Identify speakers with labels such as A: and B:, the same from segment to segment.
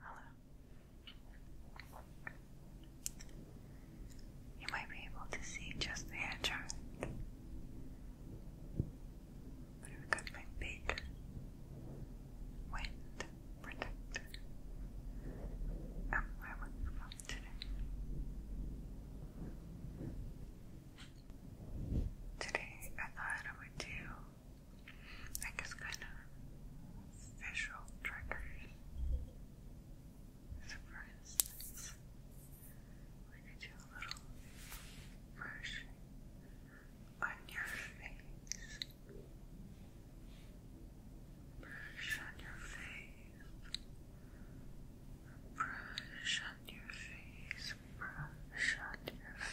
A: Hello. You might be able to see just the hair chart. But I've big wind protector. Oh, I'm wearing from today. Today I thought I would do I guess kind of visual triggers. So for instance, we could do a little brushing on your face. Brush on your face. Brush on your face. Brush on your face.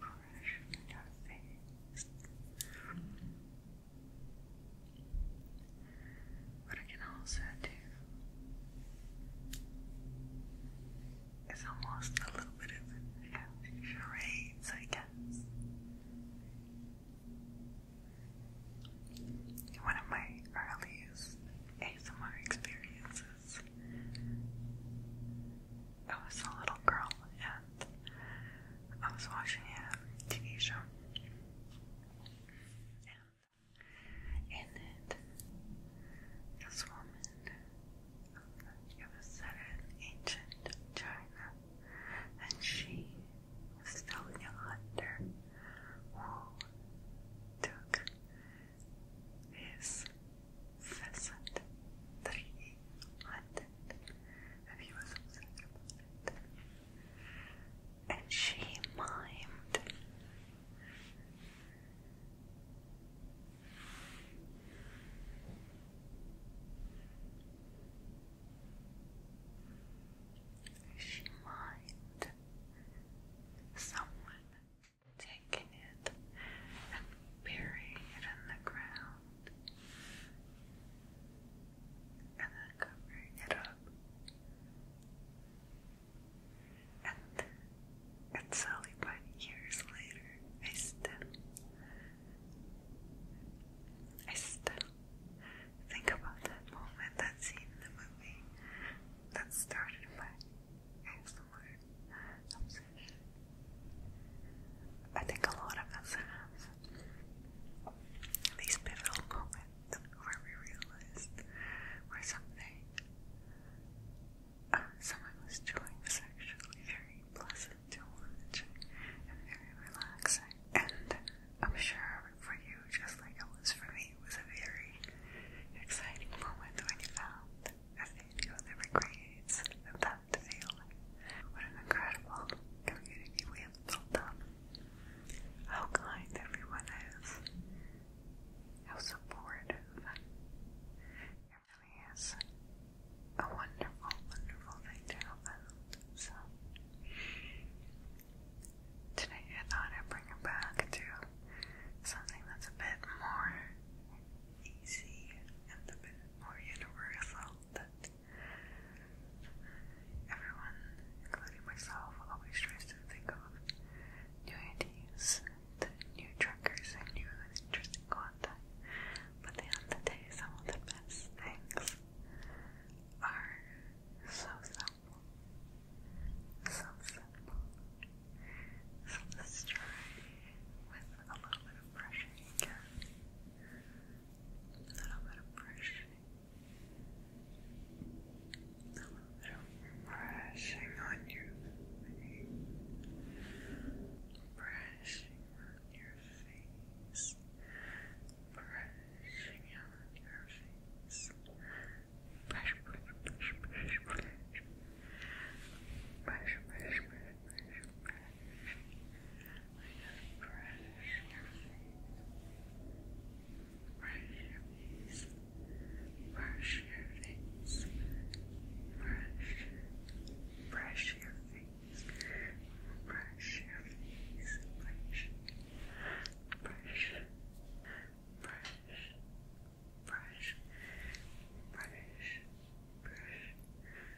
A: brush your What I can also do is almost a little bit of charades, I guess. One of my earliest ASMR experiences I was a little girl and I was watching a TV show. And in it, this woman, it was set in ancient China, and she was telling a hunter who took his pheasant that he if you And she mimed. She mimed someone taking it and burying it in the ground and then covering it up. And then, it's only but years later, I still, I still think about that moment, that scene in the movie that started my ASMR obsession. I think a lot of us have these pivotal moments where something. Uh, someone was doing was very pleasant to watch very relaxing. And I'm sure for you, just like it was for me, it was a very exciting moment when you found a video that recreates that that sailor. What an incredible community we have built up. How kind everyone is. How supportive. It really a wonderful, wonderful thing to help So, today I thought I'd bring it back to something that's a bit more easy and a bit more universal that Everyone, including myself, always tries to think of new ideas, the new triggers, and new interesting content. But at the end of the day, some of the best things are so simple. So simple. So let's try with a little bit of brushing again a little bit of brushing, a little bit of brushing on your face, brushing on your face, brushing on your face, brush, brush, brush, brush, brush, brush, brush, brush, just brush your face. Brush your face. Brush your face. Brush. Brush your face. Brush your face. Brush. Brush. Brush. Brush. Brush. Brush. Brush.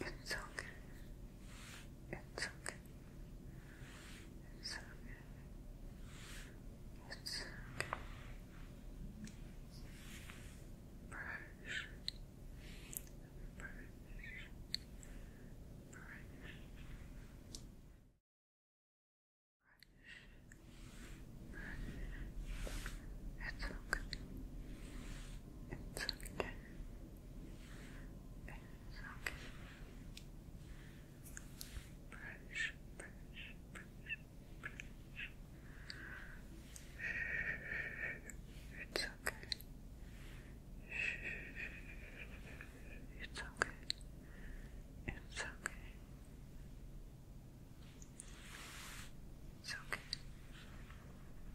A: It's okay. It's okay. It's okay. It's okay. Brush. Brush. Brush. Brush. Brush. It's okay. It's okay. It's okay. Brush, brush, brush, It's okay. It's okay. It's okay. It's okay. It's okay.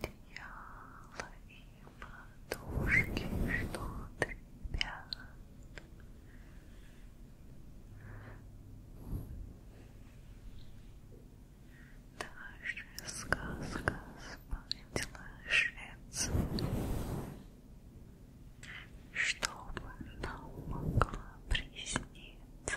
A: одеяло и подушки, что-то, ребят. Даже сказка спать ложится, чтобы нам могла присниться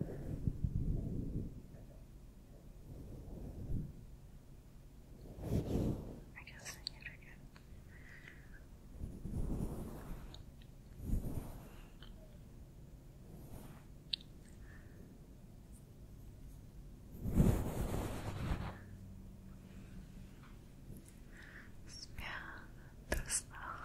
A: I can sing it again. Zmiana to znowu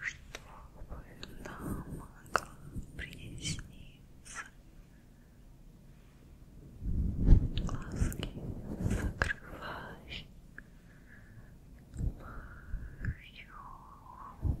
A: чтобы нам могла присниться. Глазки закрывай. Мою Мою Мою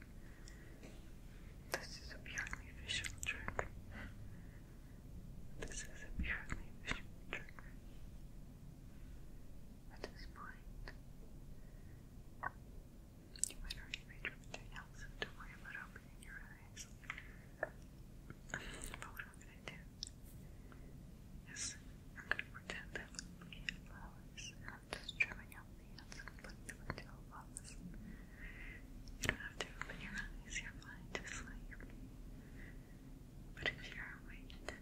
A: This is a purely visual trigger. This is a purely visual trigger. At this point, you might already be doing else, don't worry about opening your eyes. But what i gonna do is, I'm gonna pretend that I'm looking at flowers, and I'm just trimming out the ends and putting them into you don't have to open your eyes, you're fine to But if you're awake,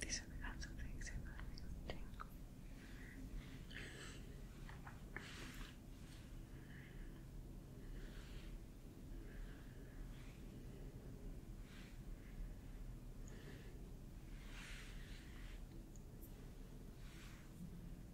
A: these are the kinds of things you're not neglecting.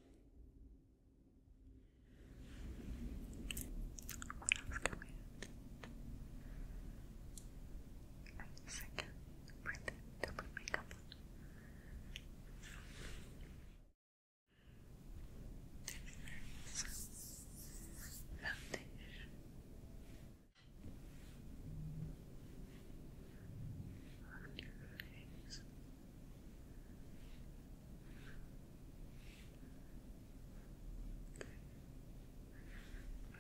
A: What else can second print it makeup foundation on your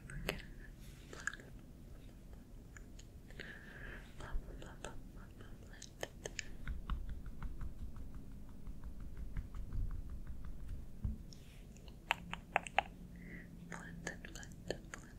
A: We're gonna blah, blah, blah, blah, blah, blah, blah, blah, Blend blend blend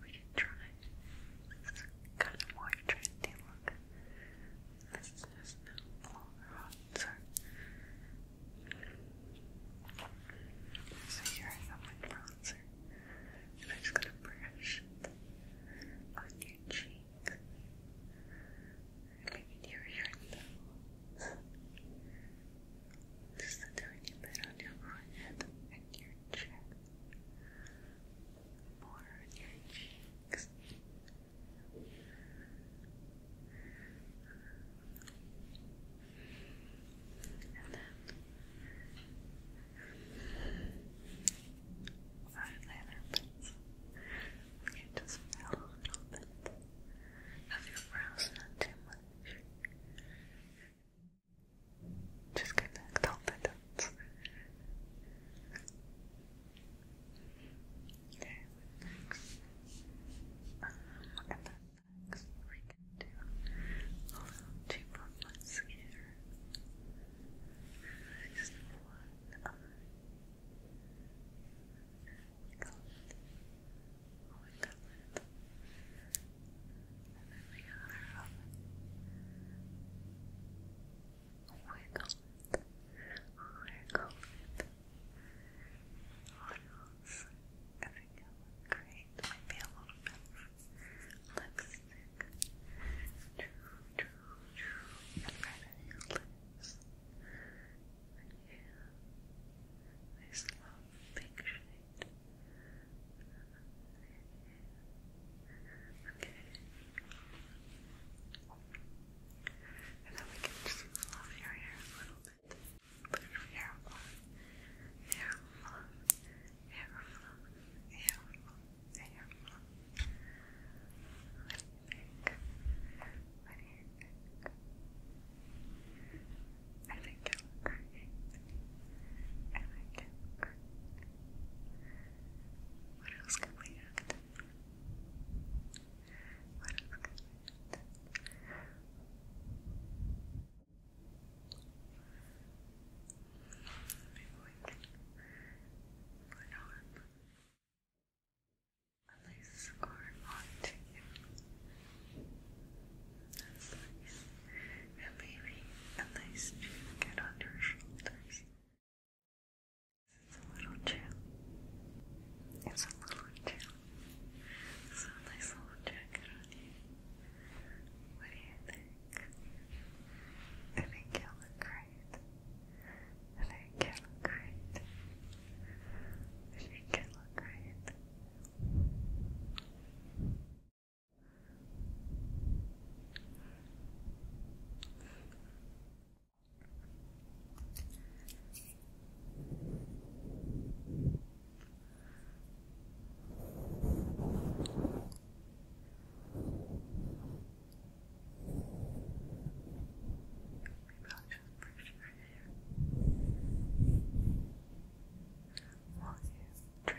A: We can try. This is kind more trendy look. This is no longer hot, so. here I have my bronzer, and I'm just gonna brush on your cheek think. Maybe near here though. Just a tiny bit on your forehead and your chin. More on your cheeks. And then eyeliner pencil. We can just fill a little bit have your brows not too much. Just get that confidence. Okay, next. Um, and then next we can do a little cheap of mascara. Just one Oh my god. And then the other of it. Oh my god. Oh my god. What else? I think it would great. Maybe a little bit of lipstick. True, true, true. And right on your lips. Right I Nice pink shade. Okay. And then we can just love your hair a little bit. hair fluff. Hair fluff. Hair fluff. Hair fluff think? you think? I think I like What else can we add? What else can we add? Maybe put on a lace scarf onto you. That's nice. And maybe a nice shoe on your shoulders. It's a little chill. It's a little chill. So a nice little jacket on you. What do you think? I think you look great and it can look great. It can look great natural pressure you trip.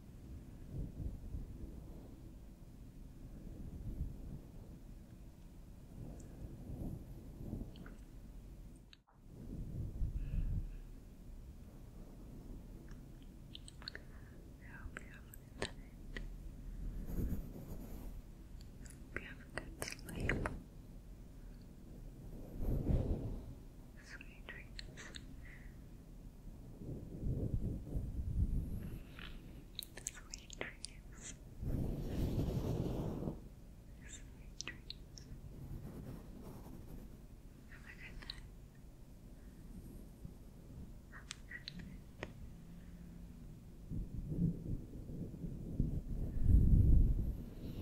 A: hope you have a good night. Hope you have a good sleep. Sweet dreams. Sweet dreams. Sweet dreams. Have a good night. Have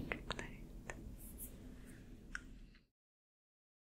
A: a good night. Good night.